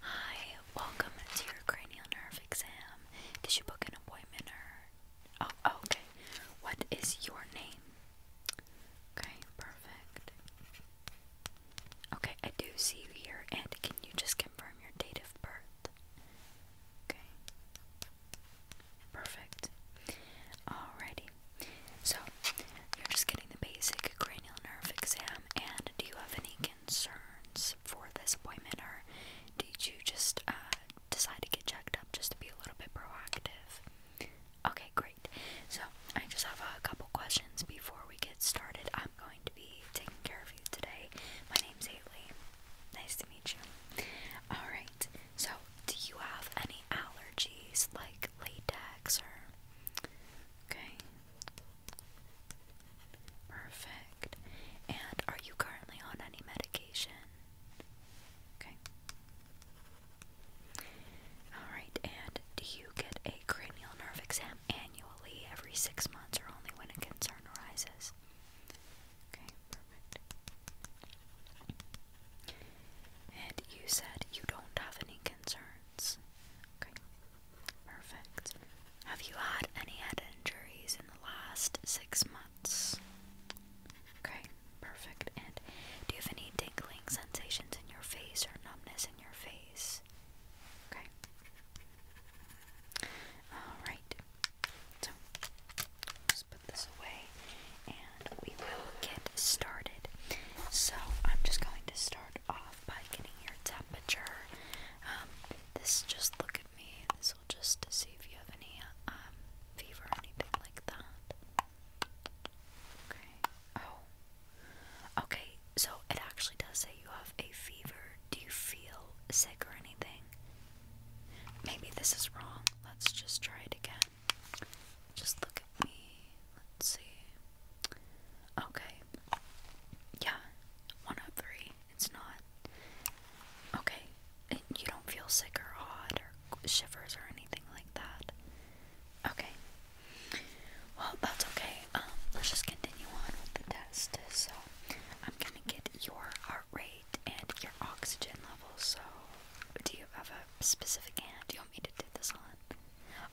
Hi, welcome to your cranial nerve exam. Did you book an appointment or? Oh, oh okay. What is your name? Okay, perfect. Okay, I do see you here, and can you just confirm your date of birth? Okay. Perfect. Alrighty. So, you're just getting the basic cranial nerve exam. And do you have any concerns for this appointment, or did you just uh, decide to get checked up just to be a little bit proactive? Okay, great. So I just have a couple questions before we get started. I'm going to be taking care of you today. My name's Haley. Nice to meet you. All right. So, do you have any allergies like latex or Okay. Perfect. And are you currently on any medication? Okay. Alright, and do you get a cranial nerve exam annually every six months or only when a concern arises? Okay, perfect. And you said you don't have any concerns. Okay. Perfect. Have you had any head injuries in the last six months? Okay, perfect. And do you have any tingling sensations in your face or numbness in your face? Okay. Alright. So, just put this away and we will get started. So, I'm just going to start off by getting your temperature. Um, this just look at me. This will just to see if you have any um, fever or anything like that. Okay. Oh. Okay. So it actually does say you have a fever. Do you feel sick or anything? Maybe this is wrong. Let's just try it again. Just look at me. Let's see. Okay. Yeah. One out oh three. It's not. Okay. you don't feel sick or odd or shivers or anything like that. Okay. Well, that's okay. Um, let's just continue on with the test. So, I'm gonna get your heart rate and your oxygen level. So, do you have a specific hand you want me to do this on?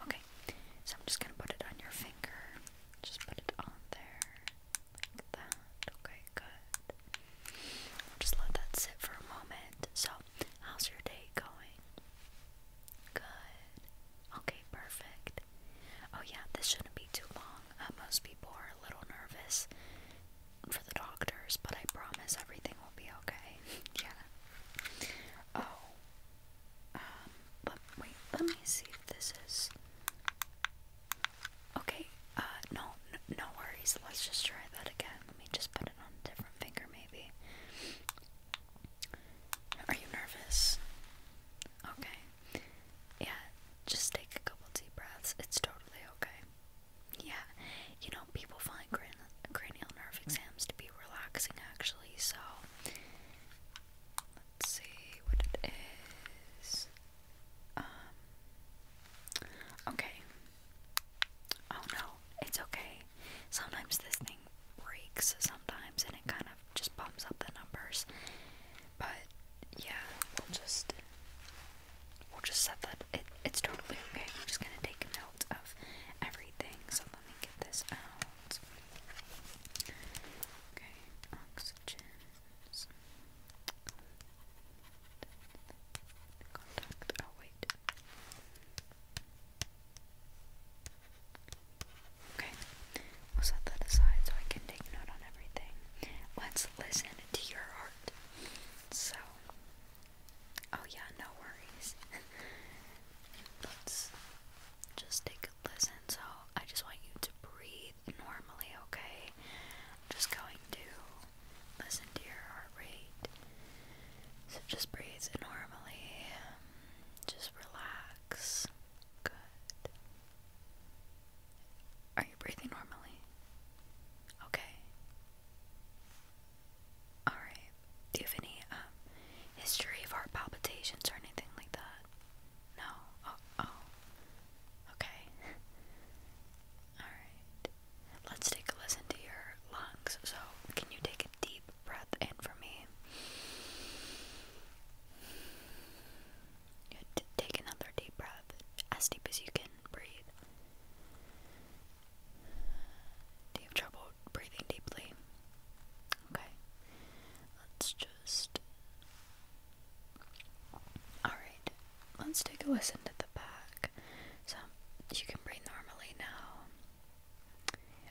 Okay, so I'm just gonna put it on your finger. Just put it on there. Like that. Okay, good. just let that sit for a moment. So, how's your day going? Good. Okay, perfect. Oh, yeah, this shouldn't be too long. Uh, most people are a little nervous for the doctors, but I promise everything will be okay. Oh, um, but wait, let me see if this is. Okay, uh, no, no, worries. Let's just try that again. Let me just put it on a different finger, maybe. Are you nervous? Okay. Yeah, just take a couple deep breaths. It's totally okay. Yeah, you know, people find gran cranial nerve exams to be relaxing, actually, so let's see what it is. Um, okay. Oh no, it's okay. Sometimes this thing breaks sometimes and it kind of just bumps up the numbers. But yeah, we'll just we'll just set that it's totally okay. I'm just gonna take a of everything. So let me get this out. Okay, oxygen. Contact. Oh, wait. Okay, we'll set that aside so I can take note on everything. Let's listen to your heart. So, oh, yeah, no worries. Let's just take a listen. So, I just want you to breathe normally, okay? I'm just going to listen to your heart rate. So just breathe normally. Just relax. Good. Are you breathing normally? Okay. Alright. Do you have any um, history of heart palpitations or anything like that? No. Oh, oh. Okay. Alright. Let's take a listen to your lungs. So, can you take a deep breath in for me? Take another deep breath, as deep as you can breathe. Do you have trouble breathing deeply? Okay. Let's Alright, let's take a listen to the back. So, you can breathe normally now.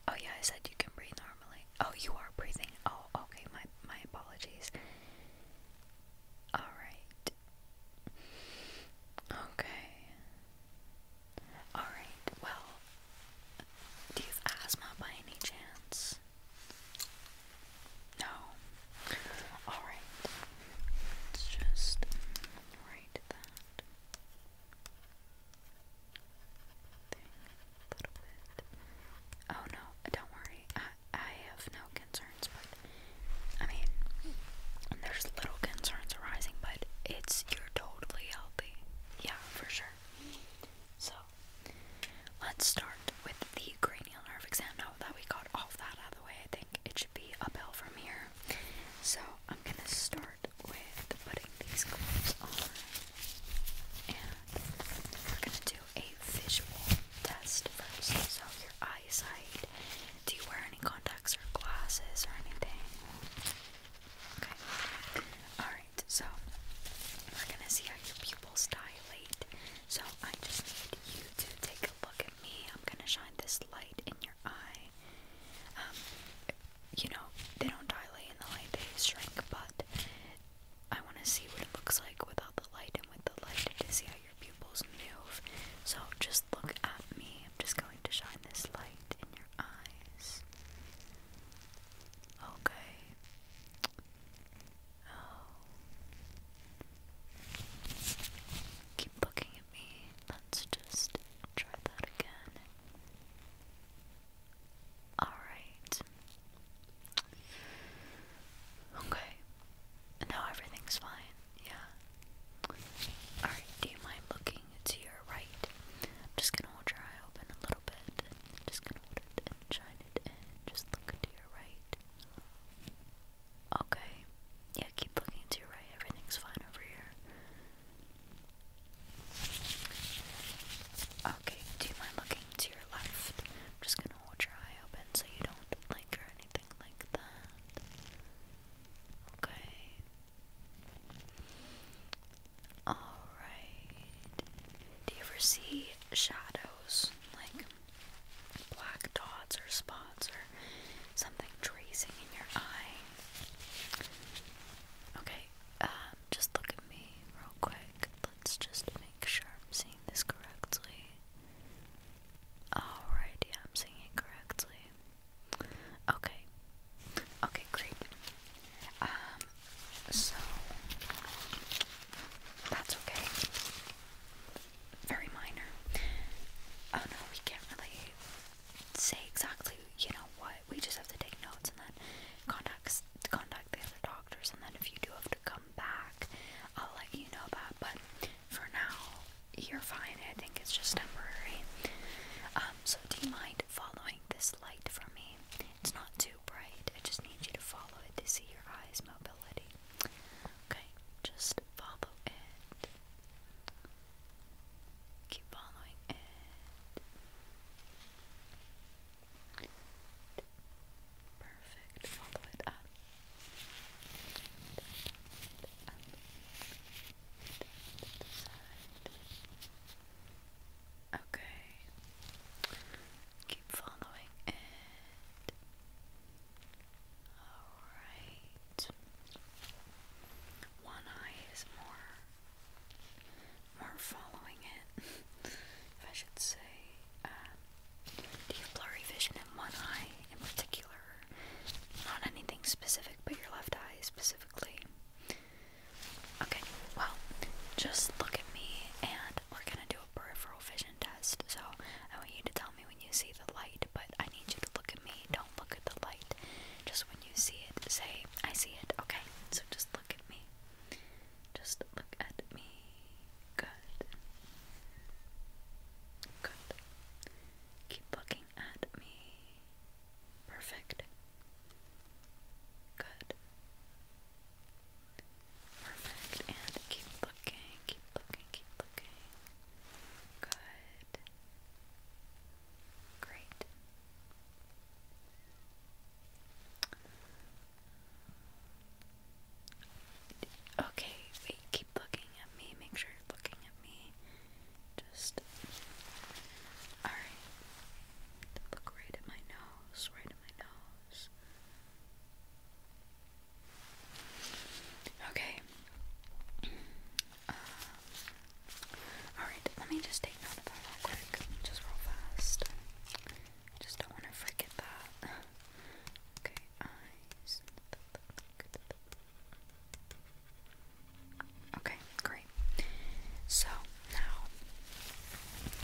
Oh, yeah, I said you can breathe normally. Oh, you are breathing. Oh, okay, my, my apologies. Alright. Okay. Alright, well, do you have asthma by any chance? No. Alright. Let's just write that thing a little bit. Oh no, don't worry. I, I have no concerns, but I mean, there's little concerns arising, but it's you're totally healthy. Yeah, for sure. So let's start with the cranial nerve exam. Now that we got all that out of the way, I think it should be uphill from here. So I'm gonna start with putting these gloves on, and we're gonna do a visual test first. So your eyesight. Do you wear any contacts or glasses or anything? Okay. Alright so we're gonna see how your pupils dilate. So I just need you to take a look at me. I'm gonna shine this light in your eye. Um, you know, they don't dilate in the light, they shrink, but I wanna see what it looks like without the light and with the light to see how your pupils move. So just look at me. I'm just going to shine this light in your eyes. Okay. Oh. Keep looking at me. Let's just try that again. Alright. Okay. Now everything's fine. Yeah. Alright, do you mind looking to your right? I'm just gonna hold your eye open a little bit. just gonna hold it and shine just look to your right. Okay. Yeah, keep looking to your right. Everything's fine over here. Okay, do you mind looking to your left? I'm just gonna hold your eye open so you don't blink or anything like that. Okay. Alright. Do you ever see shadows, like black dots or spots or something tracing in your eye? Okay, um, just look at me real quick. Let's just make sure I'm seeing this correctly. Alright, I'm seeing it correctly. Okay. Okay, great. Um, so that's okay. Very minor. Oh no, we can't really say exactly, you know what. We just have to take notes and then contact the other doctors, and then if you do have to come back, I'll let you know that. But for now, you're fine. I think it's just temporary. Um, so do you mind following this light for me? It's not too bright. I just need you to follow it to see your eyes' mobility. Okay, just follow it. Keep following it. Perfect. Follow it up. Okay keep following it. Alright. One eye is more more following it. if I should say, um do you have blurry vision in one eye in particular? Not anything specific, but your left eye specifically. Okay, well, just look at me and we're gonna do peripheral vision test. So I want you to tell me when you see the light, but I need you to look at me. Don't look at the light. Just when you see it, say, I see it. Okay, so just look at me. Just look at me. Good. Good. Keep looking at me. Perfect. Good. And keep looking, keep looking, keep looking. Good. Great. Okay, keep looking at me. Make sure you're looking at me. Just. Alright. Look right at my nose, right at my nose. Okay. Uh, alright, let me just take note of that real quick. Just real fast. Just don't want to forget that. Okay, eyes. Okay, great. So now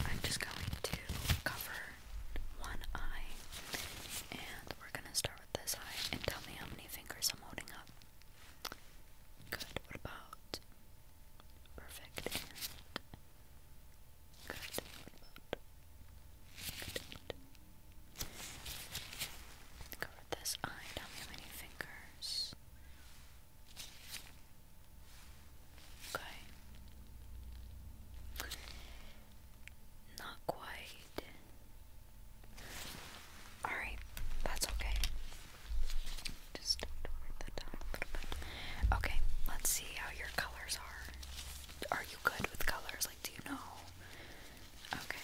I'm just going to cover one eye. And we're gonna start with this eye and tell me how many fingers I'm holding up. Good. What about? Perfect. And good. What about? Good. Cover this eye. Tell me how many fingers. Okay. Not quite. Alright, that's okay. Just toward the top a little bit. Okay, let's see how your colors are. Are you good with colors? Like, do you know? Okay.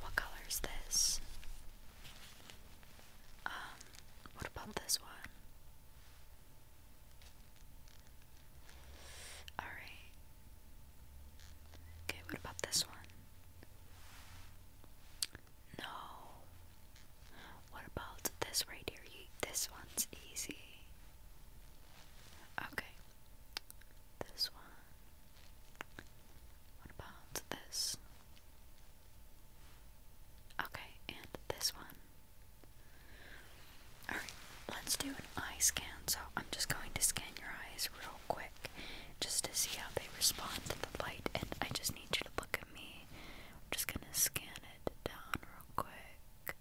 What color is this? Um, what about this one? Alright. Okay, what about this one? No. What about this right here? this one's easy. Okay. This one. What about this? Okay, and this one. Alright, let's do an eye scan. So I'm just going to scan your eyes real quick just to see how they respond to the light. And I just need you to look at me. I'm just going to scan it down real quick.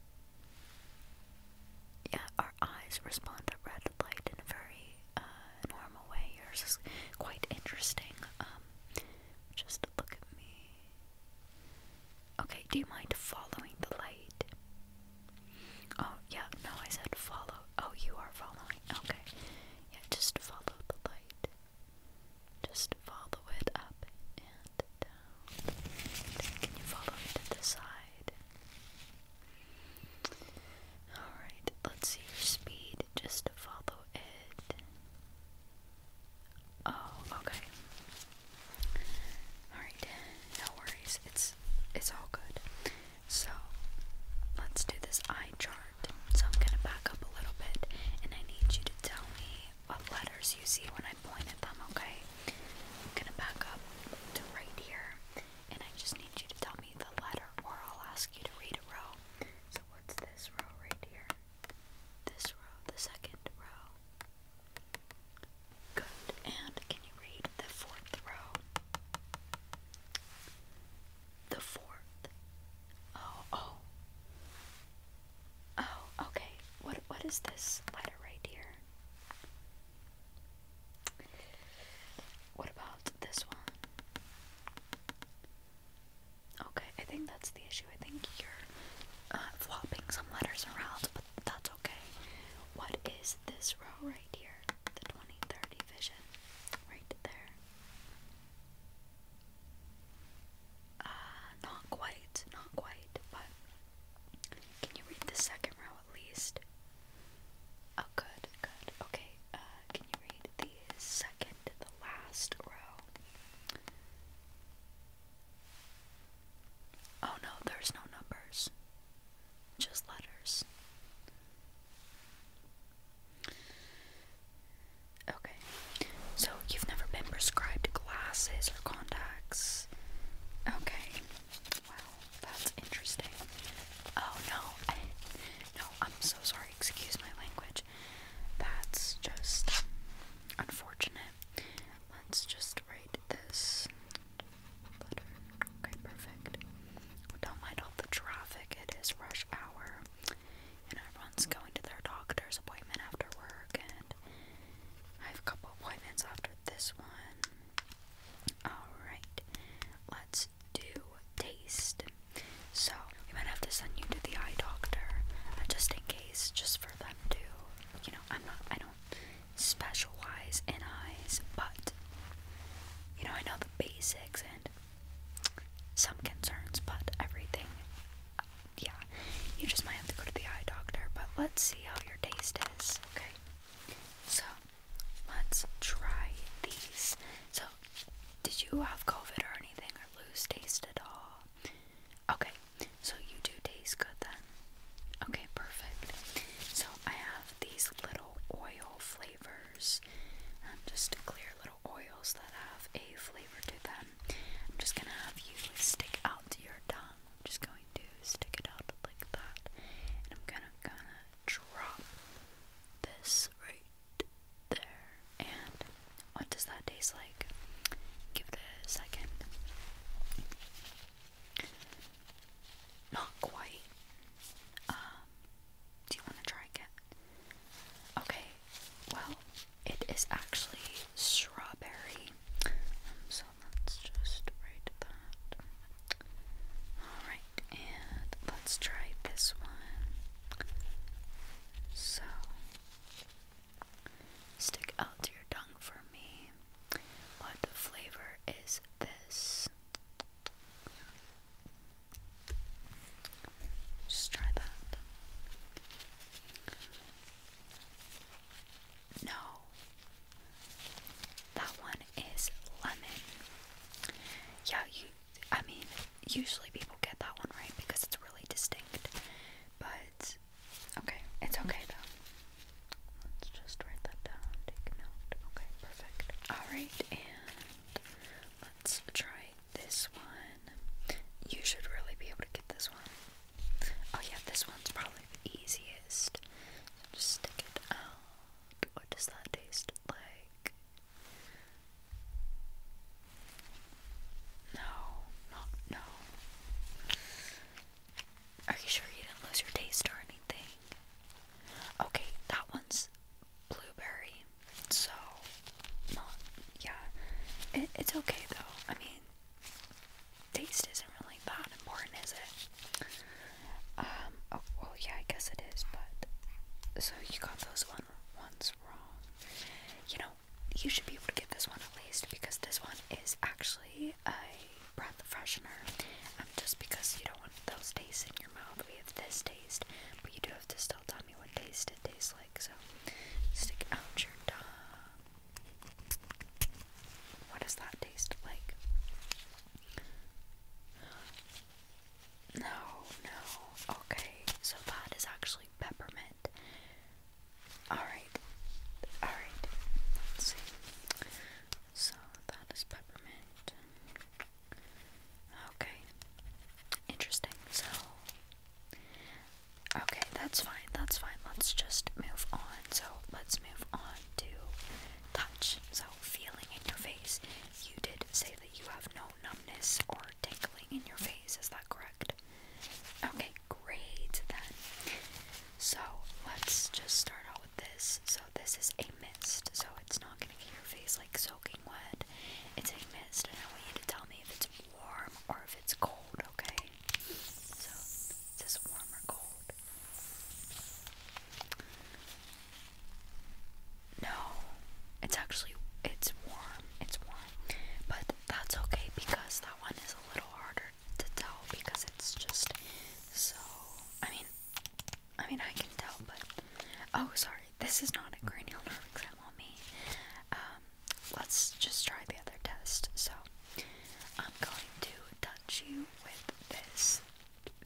Yeah, our eyes respond to red light in a very uh, normal way. Yours is quite interesting. Um, just look at me. Okay, do you mind following the light? Oh, yeah, no, I said follow. Oh, you are following. Okay. Yeah, just follow the light. Just follow it up and down. can you follow it to the side? Alright, let's see your speed. Just follow it. Oh, okay. Alright, no worries. It's it's all good. So let's do this eye chart. So I'm gonna back up a little bit and I need you to tell me what letters you see when I point at them, okay? gonna back up to right here and I just need you to tell me the letter or I'll ask you to read a row. So what's this row right here? This row, the second row, Good. And can you read the fourth row? The fourth. Oh, oh. Oh, okay. What what is this letter right here? What about this one? Okay, I think that's the I think you're uh, flopping some letters around, but that's okay. What is this row right here? The 2030 vision. Right there. Uh, not quite, not quite, but can you read the second row at least? Oh, good, good. Okay, uh, can you read the second, the last row? Oh no, there's no numbers. Just letters. Okay. So you've never been prescribed glasses or contacts. Okay. Wow, that's interesting. Oh no. no, I'm so sorry. Excuse my language. That's just unfortunate. Let's just write this Okay, perfect. Don't mind all the traffic. It is rush hour, and everyone's going to their doctor's appointment after work. And I have a couple appointments after this one. All right, let's do taste. So we might have to send you to the eye doctor, uh, just in case, just for them to, you know, I'm not. I specialize in eyes, but you know, I know the basics and some concerns, but everything, yeah, you just might have to go to the eye doctor, but let's see how your taste is, okay? So, let's try these. So, did you have COVID or anything or lose taste at all? Okay, so you do taste good then? Okay, perfect. So I have these little oil flavors. Um, just clear little oils that have a flavor to them. I'm just gonna have you stick out to your tongue. I'm just going to stick it out like that. And I'm gonna gonna drop this right there. And what does that taste like? Give it a second. Not quite. Um, do you want to try again? Okay, well, it is actually strawberry. Um, so let's just write that. Alright, and let's try this one. So, Stick out to your tongue for me. What the flavor is this? Just try that. No. That one is lemon. Yeah, you I mean, usually people get that one right because it's really distinct. But Okay, it's okay though. Let's just write that down, take note. Okay, perfect. Alright, and let's try this one. You should really be able to get this one. Oh yeah, this one's probably easiest. Just stick it out. What does that taste like? No, not no. Are you sure you didn't lose your taste or anything? Okay, that one's blueberry. So, yeah. it's okay though. I mean, taste isn't really that important, is it? Um, oh, well, yeah, I guess it is, but. So you got those one ones wrong. You know, you should be able to get this one at least because this one is actually I brought the freshener, um, just because you don't want those tastes in your mouth. We have this taste, but you do have to still tell me what taste it tastes like. So stick out your tongue. What does that taste like? No, no. Okay, so that is actually peppermint. Alright. Alright. So that is peppermint. Okay. Interesting. So Okay, that's fine, that's fine. Let's just move on. So let's move on to touch. So feeling in your face. You did say that you have no numbness or tingling in your face, is that correct? Okay, great then. So let's just start out with this. So this is a mist, so it's not gonna get your face like soaking wet. It's a mist, and I want you to tell me if it's warm or if it's cold, okay? So is warm or cold? No, it's actually it's warm. It's warm, but that's okay because that one is a little harder to tell because it's just so I mean I mean I can tell but oh sorry this is not a cranial nerve exam on me um let's just try the other test so I'm going to touch you with this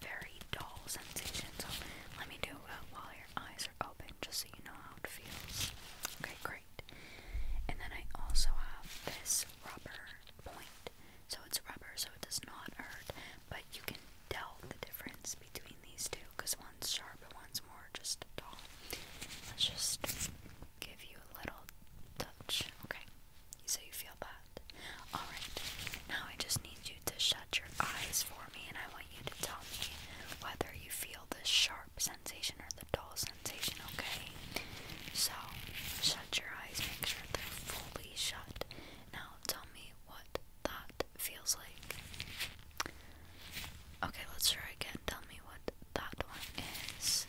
very dull sensation so let me do it while your eyes are open just so you know how it feels okay great and then I also have this rubber point so it's rubber, so it does not hurt, but you can tell the difference between these two because one's sharp and one's more just dull. Let's just give you a little touch, okay? So you feel that. Alright, now I just need you to shut your eyes for me and I want you to tell me whether you feel the sharp sensation or the dull okay? So, shut your eyes, make sure they're fully shut. Now, tell me what that feels like. Okay, let's try again. Tell me what that one is.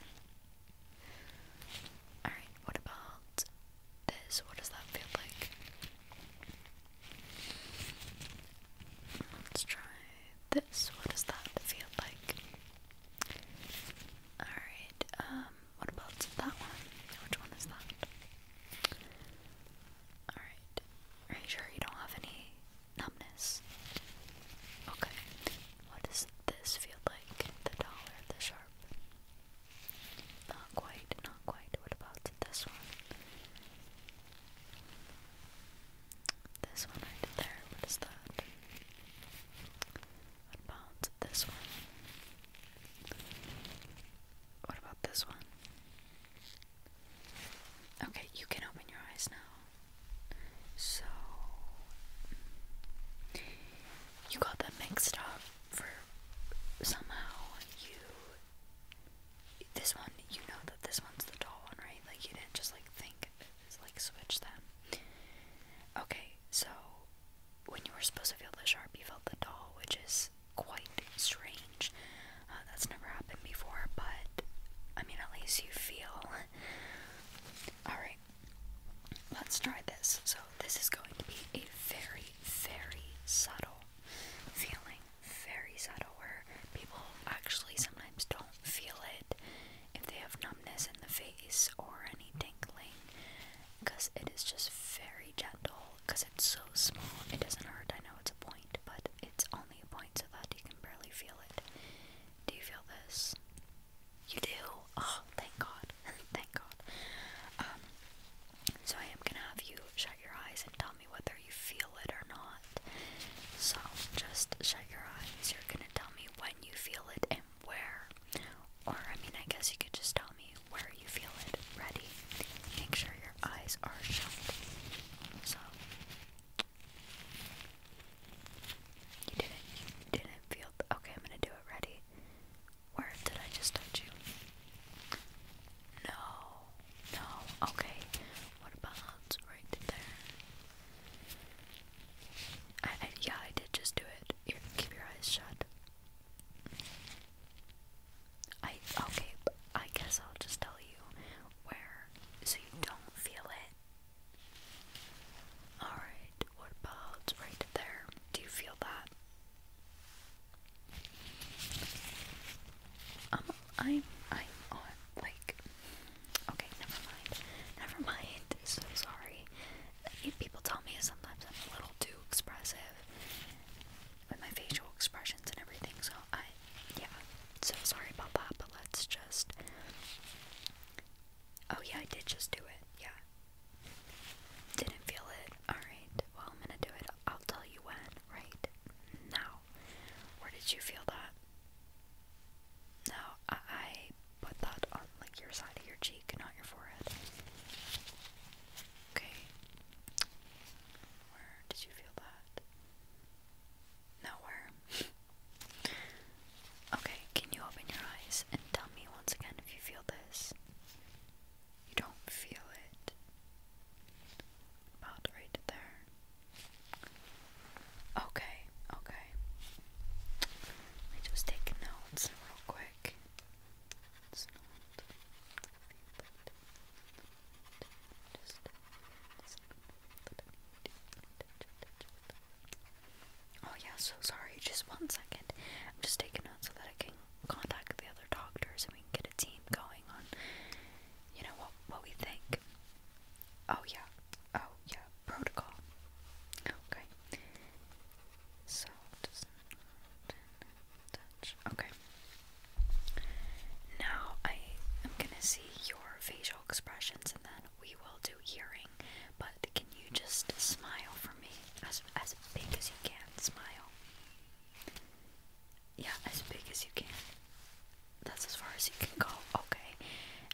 Alright, what about this? What does that feel like? Let's try this. What does that feel like? Alright, um, what about that one? Which one is that? Alright, are you sure you don't have any numbness? Okay, what does this feel like? The dollar, the sharp? Not quite, not quite. What about this one? This one right there, what is that? What about this one? What about this one? Okay, you can open your eyes now. So, you got them mixed up for somehow you. This one, you know that this one's the tall one, right? Like, you didn't just like think, like, switch them. Okay, so, when you were supposed to feel the sharp, you felt the dull, which is quite strange. Uh, that's never happened before, but I mean, at least you feel. Alright, let's try this. So, this is going to be a very, very subtle feeling. Very subtle, where people actually sometimes don't feel it if they have numbness in the face or any tingling because it is just very gentle because it's so small it doesn't hurt I know it's a point but it's only a point so that you can barely feel it do you feel this you do oh thank god thank god um so I am gonna have you shut your eyes and tell me whether you feel it or not so just shut your eyes you're gonna tell me when you feel it and where, or I mean, I guess you could just tell me where you feel it. Ready? Make sure your eyes are shut. So you didn't, you didn't feel. Okay, I'm gonna do it. Ready? Where did I just touch you? No, no. Okay. What about right there? I, yeah, I did just do it. keep your eyes shut. I okay. I guess I'll just tell you where, so you don't feel it. All right. What about right there? Do you feel that? Um, I'm, i on like. Okay, never mind. Never mind. So sorry people tell me sometimes I'm a little too expressive with my facial expressions and everything, so I, yeah, so sorry about that, but let's just, oh yeah, I did just do it, yeah, didn't feel it, alright, well, I'm gonna do it, I'll tell you when, right, now, where did you feel that? No, I, I put that on like your side of your cheek, not your forehead. Okay. Where did you feel that? Nowhere. okay, can you open your eyes and tell me once again if you feel this? You don't feel it. About right there. Okay, okay. Let me just take notes real quick. Oh yeah, so sorry, just one second. I'm just taking out so that I can contact the other doctors and we can get a team going on you know what what we think. Oh yeah. Oh yeah. Protocol. Okay. So just, not touch. Okay. Now I am gonna see your facial expressions, and then we will do hearing. But can you just smile for me as as big as you can? Smile. Yeah, as big as you can. That's as far as you can go. Okay.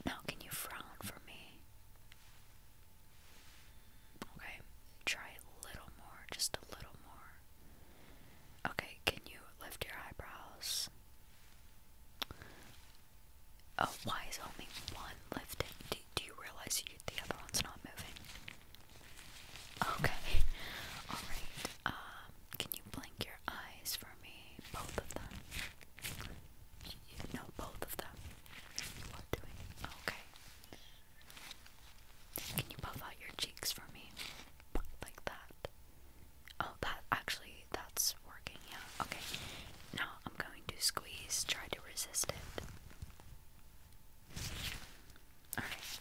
Now can you frown for me? Okay, try a little more, just a little more. Okay, can you lift your eyebrows? Oh, why is only one lifted? Do, do you realize the other one's not moving? Okay, alright. Um, can you blink your eyes for me? Both of them? You know both of them. What doing? Okay. Can you puff out your cheeks for me? Like that. Oh, that actually, that's working, yeah. Okay, now I'm going to squeeze, try to resist it. Alright,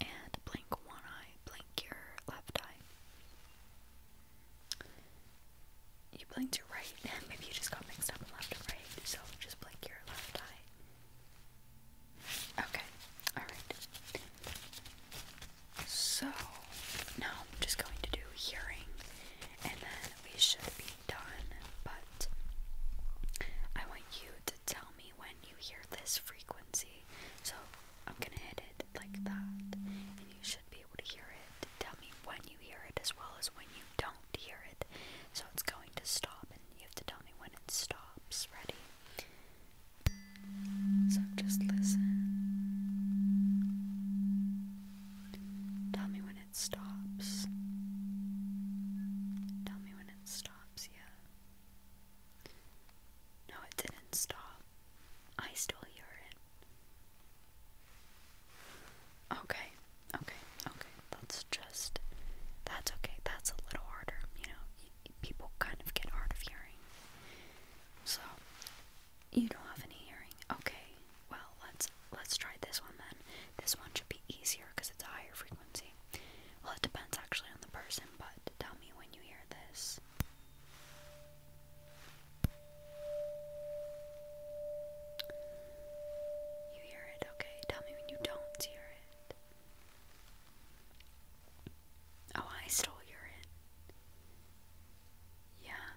and blink one eye, blink your left eye. You blinked your right, maybe you just got mixed up and left and right, so just blink your Okay, alright. So, now I'm just going to do hearing and then we should be done. But I want you to tell me when you hear this frequency. So, I'm gonna hit it like that, and you should be able to hear it. Tell me when you hear it as well as when you don't do hear it. So it's going to stop, and you have to tell me when it stops. Ready? So just listen. Tell me when it stops. Tell me when it stops, yeah. No, it didn't stop. I still hear it. Okay, okay, okay. That's just that's okay. That's a little harder, you know. People kind of get hard of hearing. So you don't have any hearing. Okay. Well, let's let's try this one then. This one should be easier because it's a higher frequency. Well, it depends actually on the person, but tell me when you hear this hear it, okay? Tell me when you don't hear it. Oh, I stole hear it. Yeah,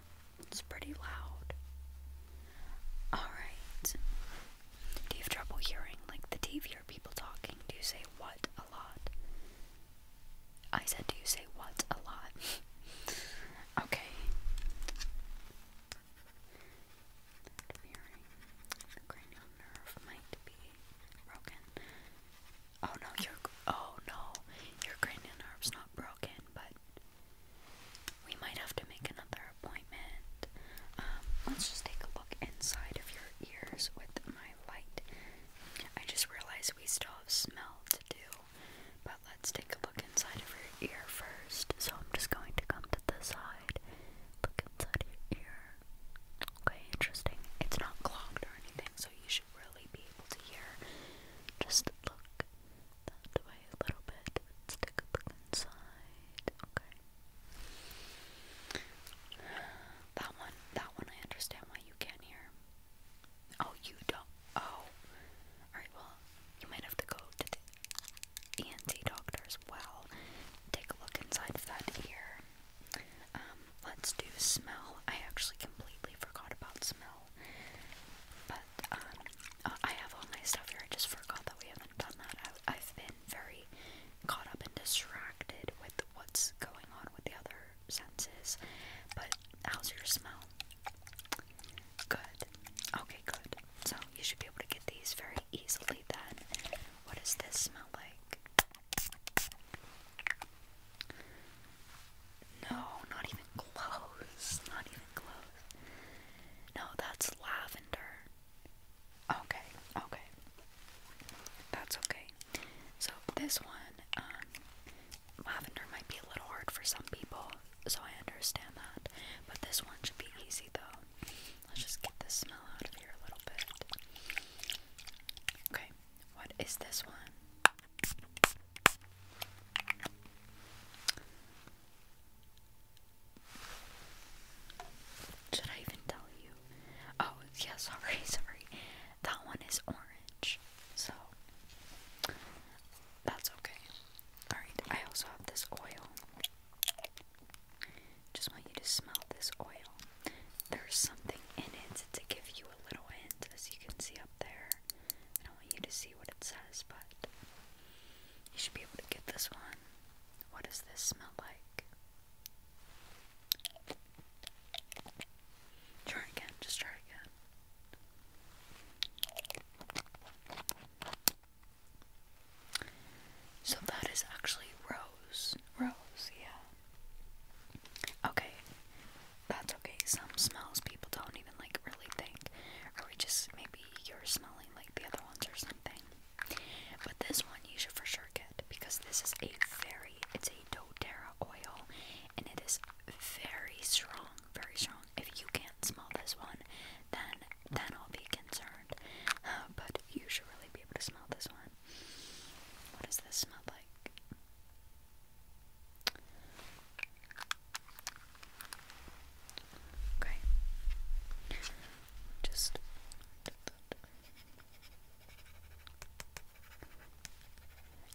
it's pretty loud. Alright. Do you have trouble hearing? Like, the TV hear people talking. Do you say what a lot? I said, do you say what a lot? okay. The cranial nerve might be broken. Oh no, your oh no, your cranial nerve's not broken, but we might have to make another appointment. Um, let's just take a look inside of your ears with my light. I just realized we still have smell to do, but let's take a look inside of your ear first, so I'm just going to come to the side, look inside ear. Okay, interesting. It's not clogged or anything, so you should really be able to hear. Just look that way a little bit. Let's take a look inside. Okay. That one, that one, I understand why you can't hear. Oh, you don't. Oh. Alright, well, you might have to go to ENT doctor as well. Take a look inside of that ear. Um, let's do smell. I actually completely forgot about smell. But, um, uh, I have all my stuff here. I just forgot that we haven't done that. I've been very caught up and distracted with what's going on with the other senses. But, how's your smell? Good. Okay, good. So you should be able to get these very easily then. What does this smell like? No, not even close. Not even close. No, that's lavender. Okay, okay. That's okay. So this one, um, lavender might be a little hard for some people, so I understand that. But this one should be easy though. Let's just get the smell out of here a little bit. Okay, what is this one? Should I even tell you? Oh, yeah, sorry, sorry. That one is orange, so that's okay. Alright, I also have this oil. Just want you to smell this oil. There's something in it to give you a little hint, as you can see up there. I don't want you to see what it says, but you should be able to get this one. What does this smell like? Try again, just try again. So that is actually rose. Rose, yeah. Okay. That's okay. Some smells people don't even like really think. Or we just maybe you're smelling like the other ones or something. But this one you should for sure get because this is a very it's a doTERRA oil and it is very strong, very strong. If you can't smell this one, then then I'll be concerned. Uh, but you should really be able to smell this one. What does this smell like? Okay. Just.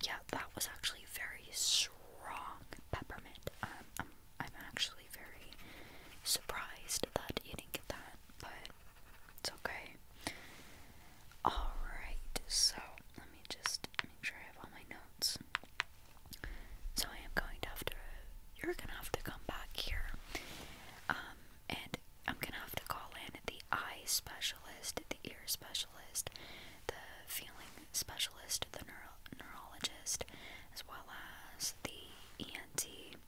Yeah, that was actually very strong peppermint. Um, I'm actually very surprised that you didn't get that, but it's okay. Alright, so let me just make sure I have all my notes. So I am going to have to, you're gonna have to come back here. Um, and I'm gonna have to call in the eye specialist, the ear specialist, the feeling specialist, the neuro neurologist, as well as the ENT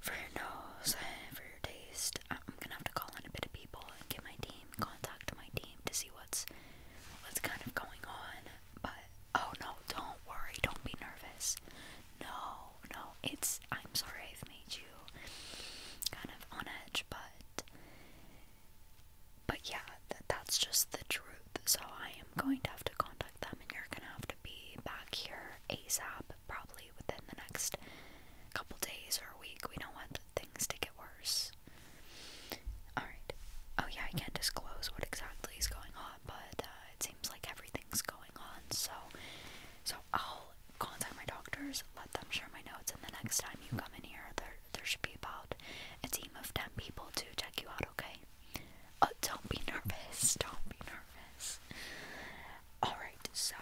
for your nose, for your taste, I'm gonna have to call in a bit of people and get my team, contact my team to see what's what's kind of going on. But oh no, don't worry, don't be nervous. No, no, it's I'm sorry I've made you kind of on edge, but but yeah, that's just the truth. So I am i am going to have to contact them, and you're gonna have to be back here ASAP, probably within the next couple days or a week. We don't want things to get worse. Alright. Oh, yeah, I can't disclose what exactly is going on, but uh, it seems like everything's going on, so. So I'll contact my doctors, let them share my notes, and the next time you come in here, there there should be about a team of ten people to check you out. Okay. Oh, don't be nervous. Don't be nervous. Alright, so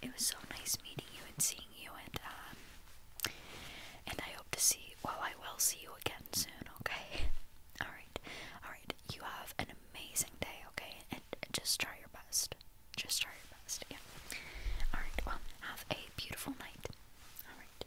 it was so nice meeting you and seeing you and um and I hope to see well I will see you again soon, okay? Alright. Alright. You have an amazing day, okay? and just try your best. Just try your best, yeah. Alright, well have a beautiful night. Alright.